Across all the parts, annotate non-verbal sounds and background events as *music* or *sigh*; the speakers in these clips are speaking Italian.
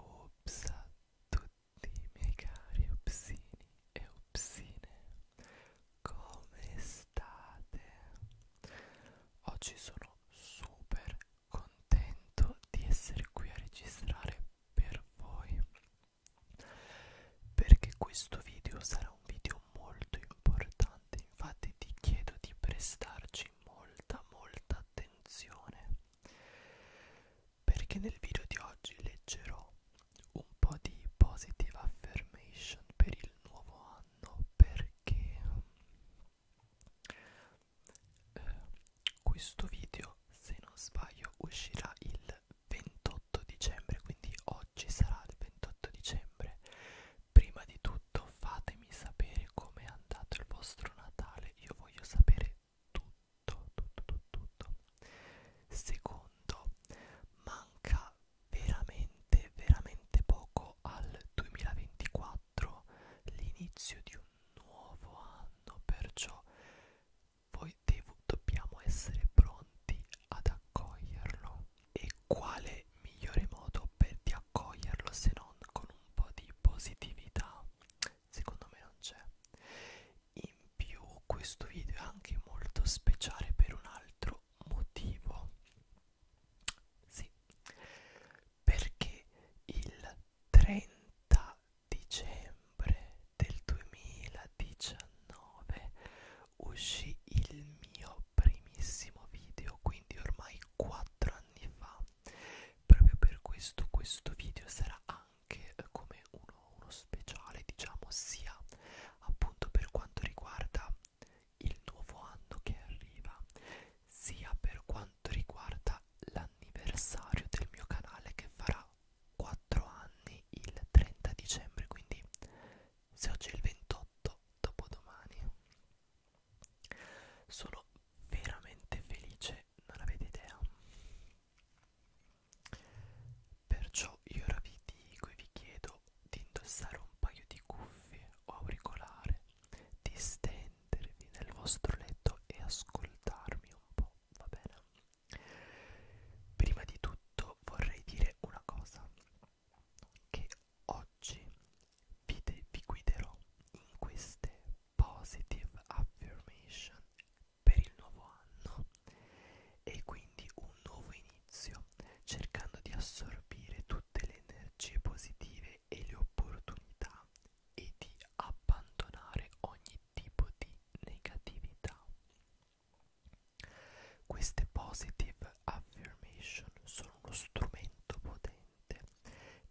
Ops a tutti i miei cari opsini e opsine, come state? Oggi sono super contento di essere qui a registrare per voi perché questo video sarà un video molto importante infatti ti chiedo di prestarci molta molta attenzione perché nel video di oggi leggerò un po' di positive affirmation per il nuovo anno perché eh, questo video se non sbaglio uscirà il 28 dicembre, quindi oggi sarà il 28 dicembre. Prima di tutto fatemi sapere com'è andato il vostro Natale, io voglio sapere tutto, tutto, tutto, tutto. Secondo, manca veramente, veramente poco al 2024, l'inizio di un nuovo anno, perciò poi devo, dobbiamo essere pronti ad accoglierlo. E quale migliore modo per di accoglierlo se non con un po' di positività? Secondo me non c'è. In più questo video è anche molto speciale per un altro motivo. Sì, perché il 30 dicembre novembre del 2019 uscì il mio primissimo video, quindi ormai 4 anni fa. Proprio per questo questo video sarà anche eh, come uno, uno speciale, diciamo, sia appunto per quanto riguarda il nuovo anno che arriva, sia per quanto riguarda l'anniversario del mio canale che farà 4 anni il 30 dicembre, quindi se oggi è il 28, dopodomani. Sono veramente felice, non avete idea. Perciò io ora vi dico e vi chiedo di indossare un paio di cuffie o auricolare, di stendervi nel vostro letto e ascoltarmi un po' va bene prima di tutto vorrei dire una cosa che oggi vi, de vi guiderò in queste positive affirmation per il nuovo anno e quindi un nuovo inizio cercando di assorbire tutte le energie positive e le opportunità e di abbandonare ogni tipo di negatività. Queste positive affirmation sono uno strumento potente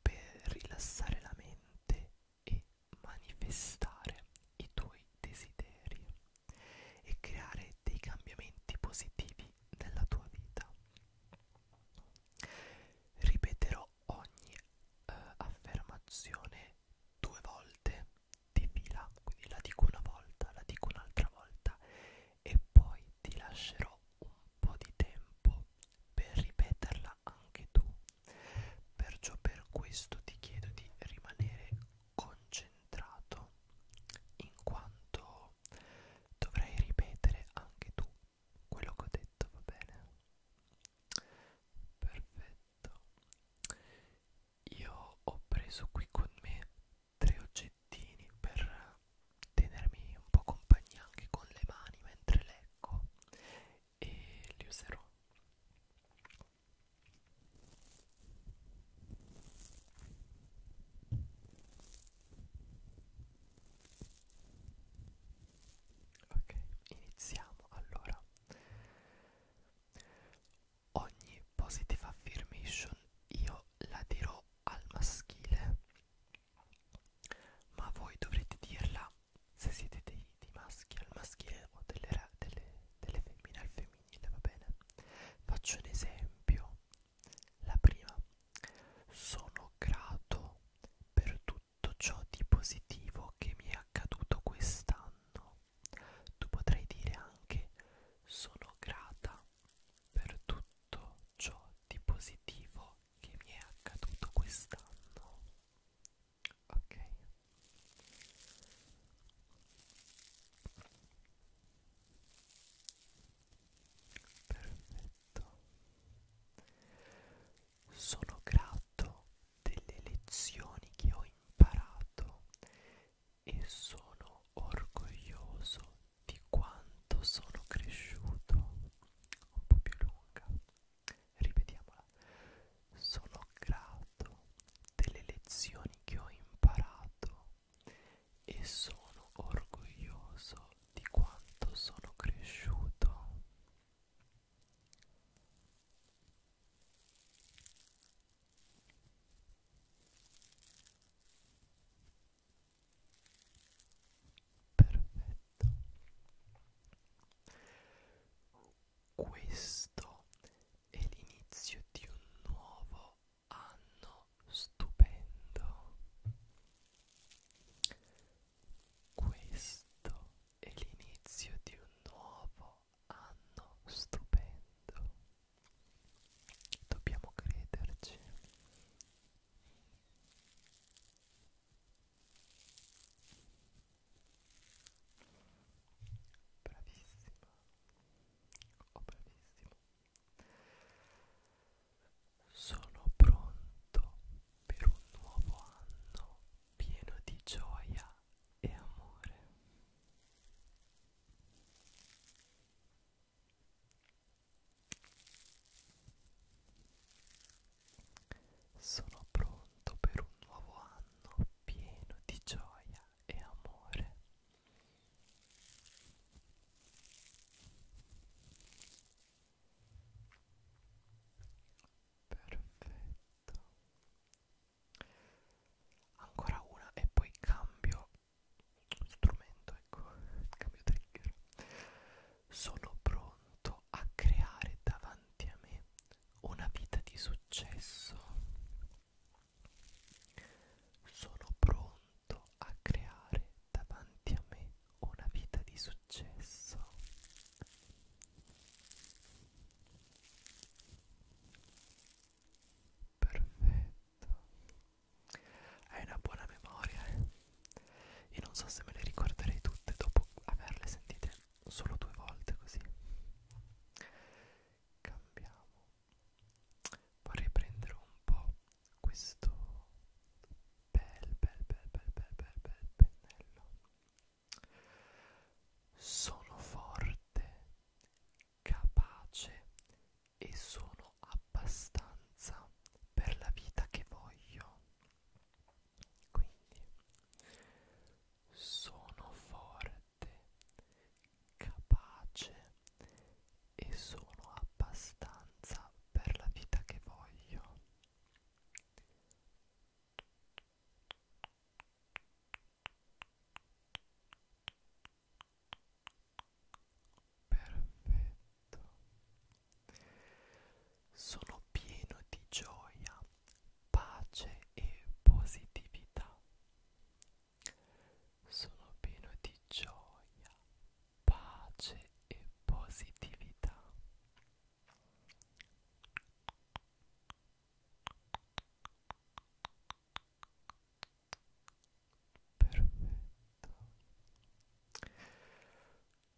per rilassare la mente e manifestare i tuoi desideri e creare dei cambiamenti positivi nella tua vita. Ripeterò ogni eh, affermazione due volte di fila, quindi la dico una volta, la dico un'altra volta e poi ti lascerò un po' di tempo per ripeterla anche tu. Perciò per questo ti chiedo di rimanere concentrato in quanto dovrai ripetere anche tu quello che ho detto, va bene? perfetto io ho preso qui con me tre oggettini per tenermi un po' compagnia anche con le mani mentre leggo e li userò ok iniziamo allora Ogni positive affirmation io la dirò al maschile, ma voi dovrete dirla se siete dei, dei maschi al maschile o delle, delle, delle femmine al femminile, va bene? Faccio un esempio. La prima, sono grato per tutto tutto ciò di positivo che mi è accaduto quest'anno. Tu potrai dire anche sono grata per tutto ciò di positivo che mi è accaduto quest'anno. Ok. Perfetto. Sono grato delle lezioni che ho imparato e sono orgoglioso di quanto sono cresciuto. Un po' più lunga. Ripetiamola. Sono grato delle lezioni che ho imparato e sono orgoglioso di quanto sono cresciuto. Perfetto. Questo è l'inizio di un nuovo anno stupendo. Questo è l'inizio di un nuovo anno stupendo. Dobbiamo crederci. Bravissima. Oh, bravissimo. Sono pronto per un nuovo anno pieno di gioia e amore. Sono pronto per un nuovo anno pieno di gioia e amore perfetto ancora una e poi cambio strumento ecco *laughs* cambio trigger sono pronto a creare davanti a me una vita di successo sono pronto a creare davanti a me una vita di successo. Perfetto. Hai una buona memoria. Io eh. non so se me le ricorderei tutte dopo averle sentite solo due volte così. Cambiamo. Vorrei prendere un po' questo bel bel bel bel bel bel bel pennello sono forte capace e sono abbastanza per la vita che voglio quindi sono forte capace e sono abbastanza per la vita che voglio Perfetto. Sono pieno di gioia, pace e positività. Sono pieno di gioia, pace e positività. Perfetto.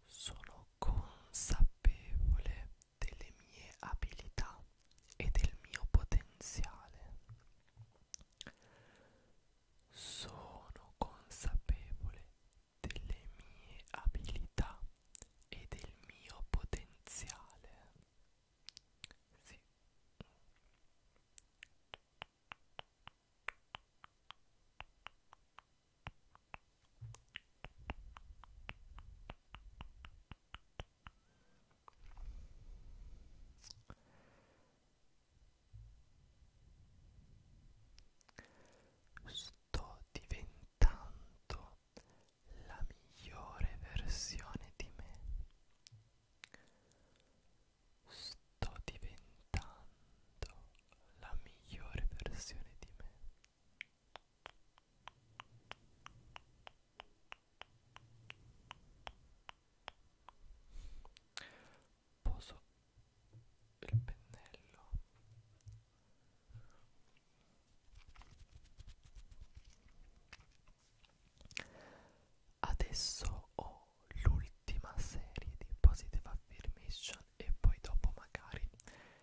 Sono consapevole delle mie abilità e del mio potenziale. Sono consapevole delle mie abilità e del mio potenziale. Sì. Sto diventando la migliore versione di me. Sto diventando la migliore versione di me. Posso il pennello adesso ho l'ultima serie di positive affirmation e poi dopo magari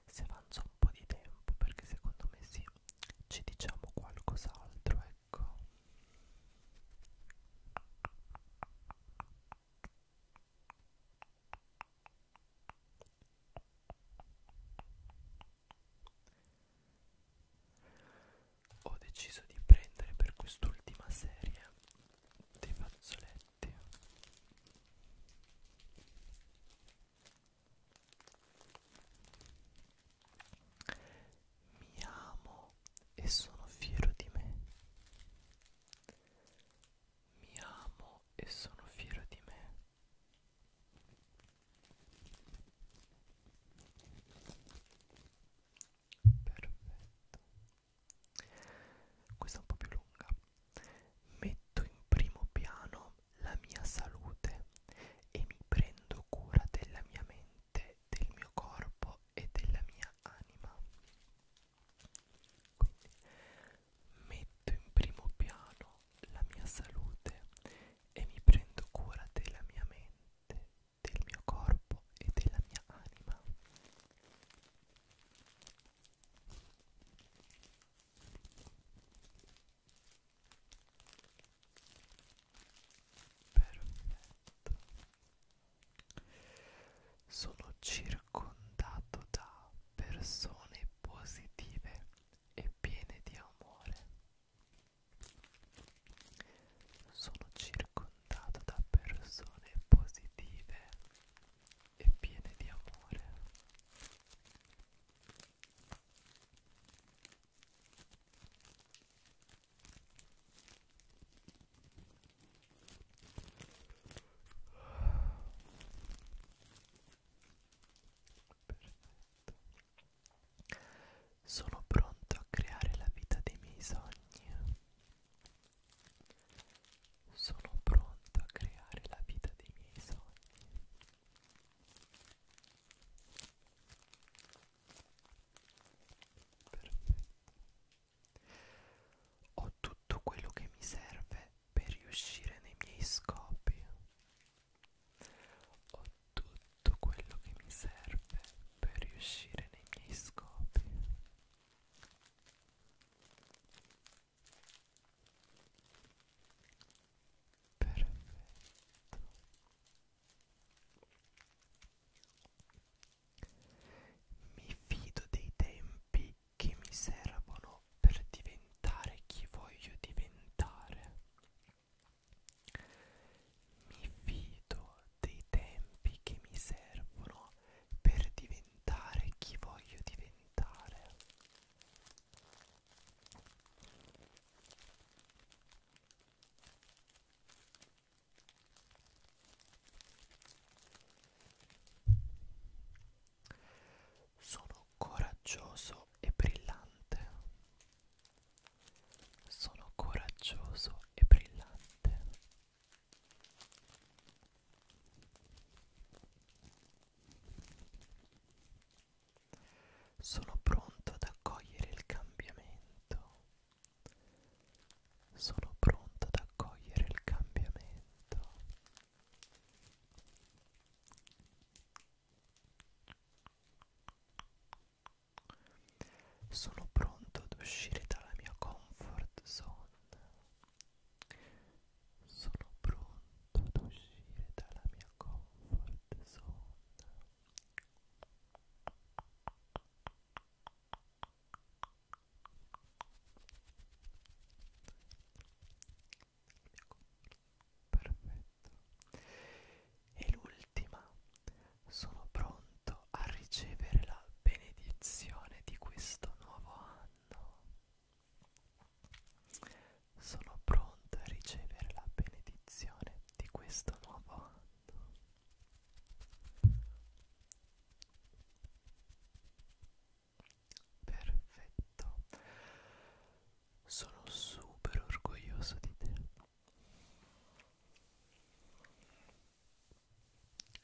se avanza un po' di tempo perché secondo me sì ci diciamo qualcos'altro ecco ho deciso di prendere per quest'ultima serie dei fazzoletti mi amo e sono fiero di me mi amo e sono fiero di me. Perfetto. Questa è un po' più lunga. Metto in primo piano la mia salute e mi prendo cura della mia mente, del mio corpo e della mia anima. Quindi metto in primo piano la mia salute e mi prendo cura della mia mente, del mio corpo e della mia anima. Perfetto. Sono circondato da persone positive e piene di amore. Sono circondato da persone positive e piene di amore. Perfetto. Sono pronto a creare la vita dei miei sogni. Sono pronto a creare la vita dei miei sogni. Perfetto. Ho tutto quello che mi serve per riuscire nei miei scopi. Ho tutto quello che mi serve per riuscire nei miei scopi. Perfetto. Mi fido dei tempi che mi servono per diventare chi voglio diventare. Mi fido dei tempi che mi servono per diventare chi voglio diventare. Sono coraggioso e brillante. Sono coraggioso e brillante. Sono pronto ad accogliere il cambiamento. Sono pronto ad accogliere il cambiamento. Sono pronto ad uscire dalla mia comfort zone. Sono pronto ad uscire dalla mia comfort zone. Perfetto. E l'ultima, sono pronto a ricevere la benedizione di questo nuovo anno. Sono pronto a ricevere la benedizione di questo nuovo anno. Perfetto. Sono super orgoglioso di te.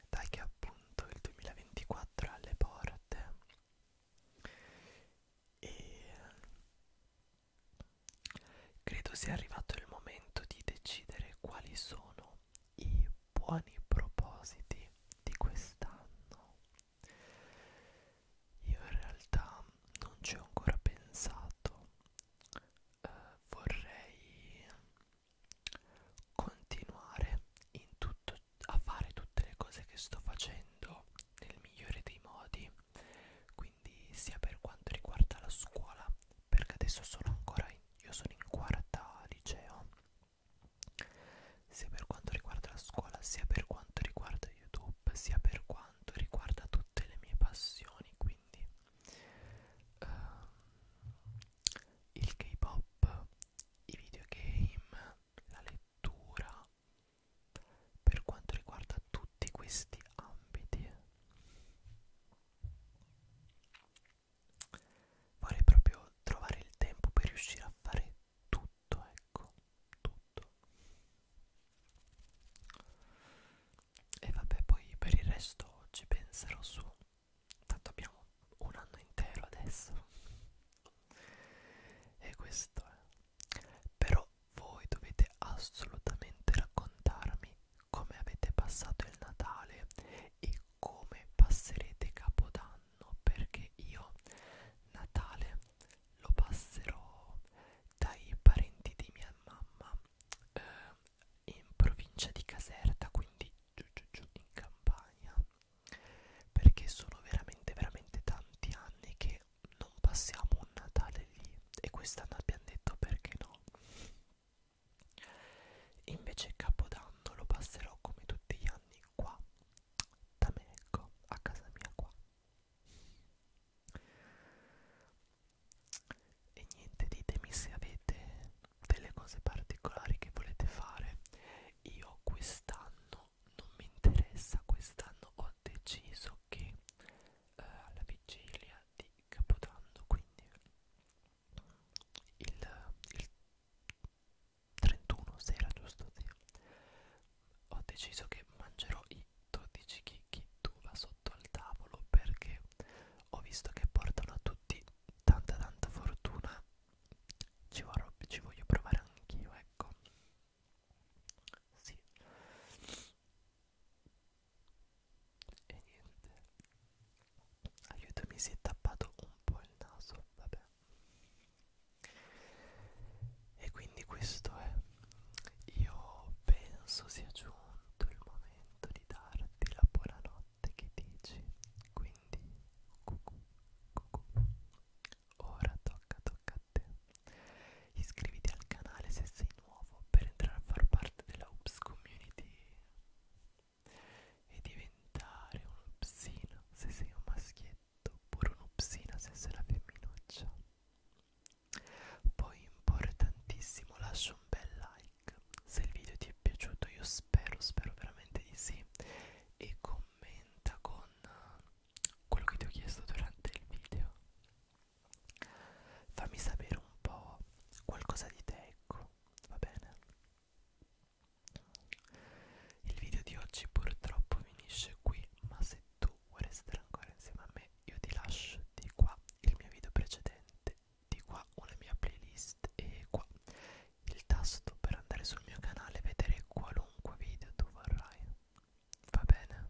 Dai che appunto il 2024 alle porte e Credo sia arrivato il momento di decidere quali sono i buoni propositi di quest'anno. Io in realtà non ci ho ancora pensato, eh, vorrei continuare in tutto, a fare tutte le cose che sto facendo nel migliore dei modi, quindi sia per quanto riguarda la scuola perché adesso sono ancora io sono in quarta liceo sia per quanto riguarda la scuola sia per quanto riguarda youtube sia per quanto riguarda tutte le mie passioni quindi uh, il k-pop i videogame la lettura per quanto riguarda tutti questi ambiti vorrei proprio trovare il tempo per riuscire a fare tutto ecco tutto e vabbè poi per il resto ci penserò su tanto abbiamo un anno intero adesso e questo è però voi dovete assolutamente raccontarmi come avete passato il Natale e come passerete Capodanno perché io Natale lo passerò dai parenti di mia mamma eh, in provincia di Caserta, quindi giù giù giù in Campania perché sono veramente veramente tanti anni che non passiamo un Natale lì e quest'anno abbiamo detto perché no invece Capodanno lo passerò come tutti gli anni qua da me ecco a casa mia qua e niente ditemi se avete delle cose particolari che volete fare io quest'anno non mi interessa quest'anno ho ho deciso che eh, alla vigilia di Capodanno, quindi il, il 31 sera, giusto? Sì. Ho deciso che mangerò i 12 chicchi d'uva sotto al tavolo perché ho visto che portano a tutti tanta tanta fortuna. Ci, vorrò, ci voglio provare anch'io, ecco sì e niente aiuto mi si è tappato un po' il naso vabbè e quindi questo è io penso sia giunto il momento di darti la buonanotte che dici quindi cucù, cucù. ora tocca tocca latte. Iscriviti al canale se sei nuovo per entrare a far parte della Ups Community e diventare un'upsina se sei un maschietto oppure un'upsina se sei la femminuccia. Poi importantissimo lascia un bel like se il video ti è piaciuto, io spero, spero veramente di sì e commenta con quello che ti ho chiesto durante il video Fammi sapere un po' qualcosa di te, ecco, va bene? Il video di oggi purtroppo finisce qui, ma se tu vuoi restare ancora insieme a me, io ti lascio di qua il mio video precedente, di qua una mia playlist e qua il tasto per andare sul mio canale e vedere qualunque video tu vorrai. Va bene?